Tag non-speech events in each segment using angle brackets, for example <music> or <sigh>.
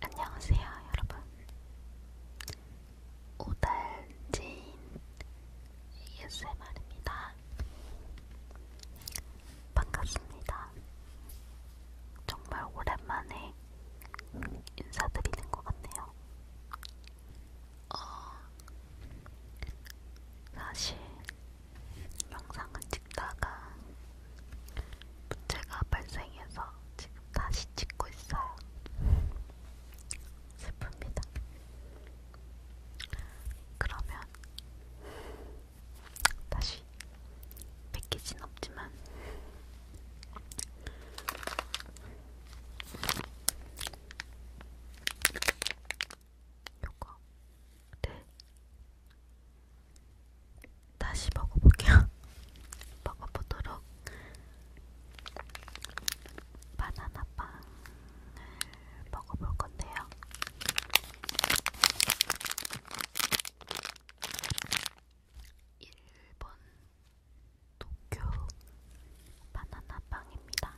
안녕하세요, 여러분. 오달지인 ASMR입니다. 반갑습니다. 정말 오랜만에 인사드리는 것 같네요. 어, 사실 영상을 찍다가 문제가 발생해서 지금 다시 찍고 있어요. 슬픕니다. 그러면 다시 뺏기진 없지만 요거 네 다시 먹어볼게요. <laughs> 먹어보도록 바나나 빵을 먹어볼 건데요. 일본 도쿄 바나나 빵입니다.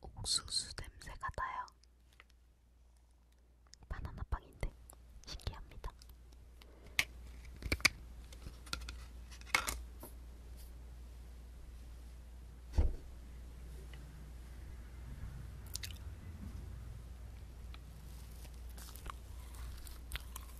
옥수수 냄새가 나요. 바나나 빵인데 신기합니다.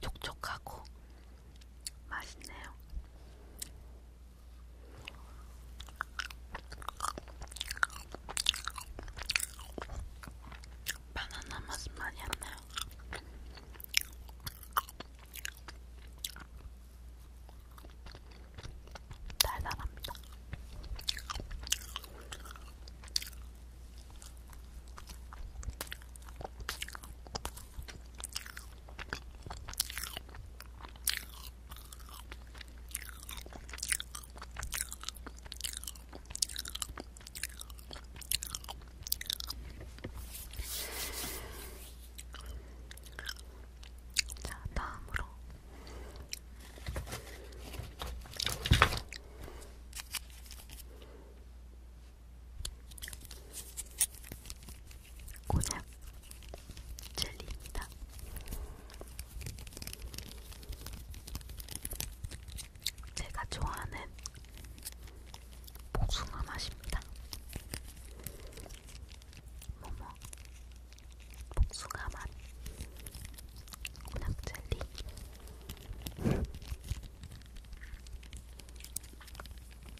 촉촉하고 맛있네요. 바나나 맛은 많이 안 나요. 달달합니다. 자, 다음으로 고작 젤리입니다. 제가 좋아하는 복숭아 맛입니다. 모모 복숭아 맛 고작 젤리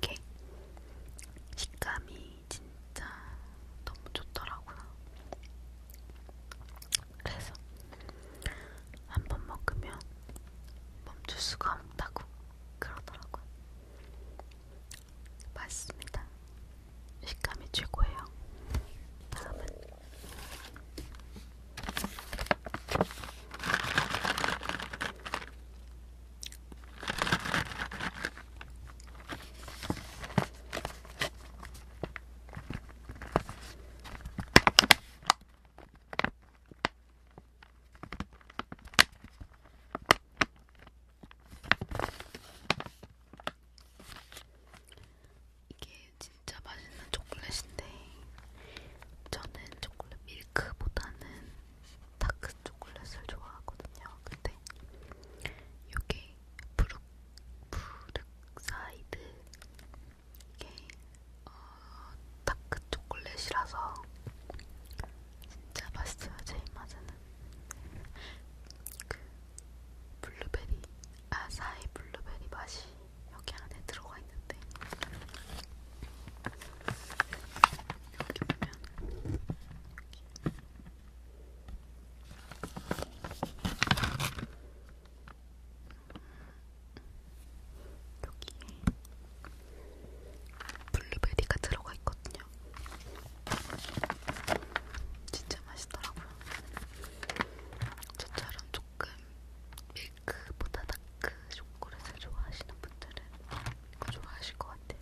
이게 식감이 진짜 너무 좋더라고요. 그래서 한 번 먹으면 멈출 수가 없다고 그러더라고요. 맛있습니다. 식감이 최고예요. 다음은 이게 진짜 맛있는 초콜릿인데 저는 초콜릿 밀크보다는 다크 초콜릿을 좋아하거든요. 근데 이게 브룩 브룩사이드 이게 어, 다크 초콜릿이라서 진짜 맛있어요. 제 입맛에는. 그 블루베리, 아사히 블루베리 맛이 여기 안에 들어가 있는데 여기 보면 여기에 블루베리가 들어가 있거든요. 있거든요. 진짜 맛있더라고요. 저처럼 조금 밀크보다 다크 초콜릿을 좋아하시는 분들은 이거 좋아하실 것 같아요.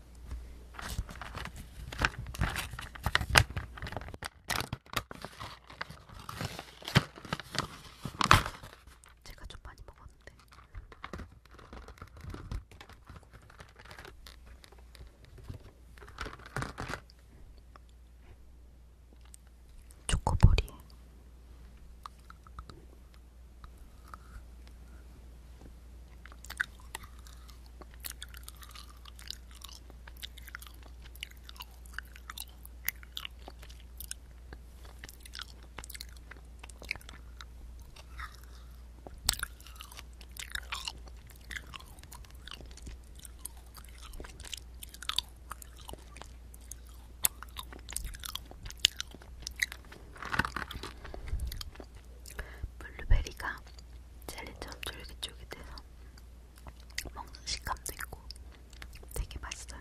제가 좀 많이 먹었는데 초코볼이 블루베리가 젤리처럼 쫄깃쫄깃해서 먹는 식감도 있고 되게 맛있어요.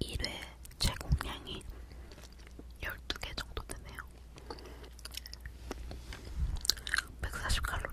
1회 제공량이 12개 정도 되네요. 140칼로리.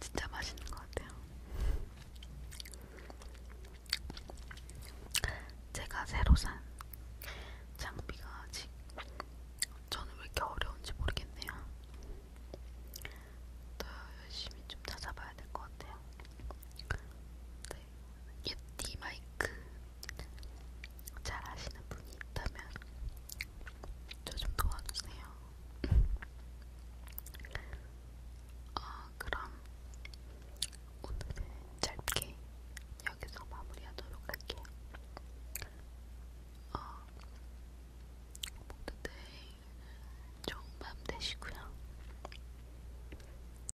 진짜 맛있는 것 같아요. 제가 새로 산 장비가 아직 저는 왜 이렇게 어려운지 모르겠네요. 더 열심히 좀 찾아봐야 될 것 같아요. 네. 예티 마이크 잘 아시는 분이 있다면 저 좀 도와주세요. 아, 그럼 오늘은 짧게 여기서 마무리하도록 할게요. 어, 모두들 좋은 밤 되시고요.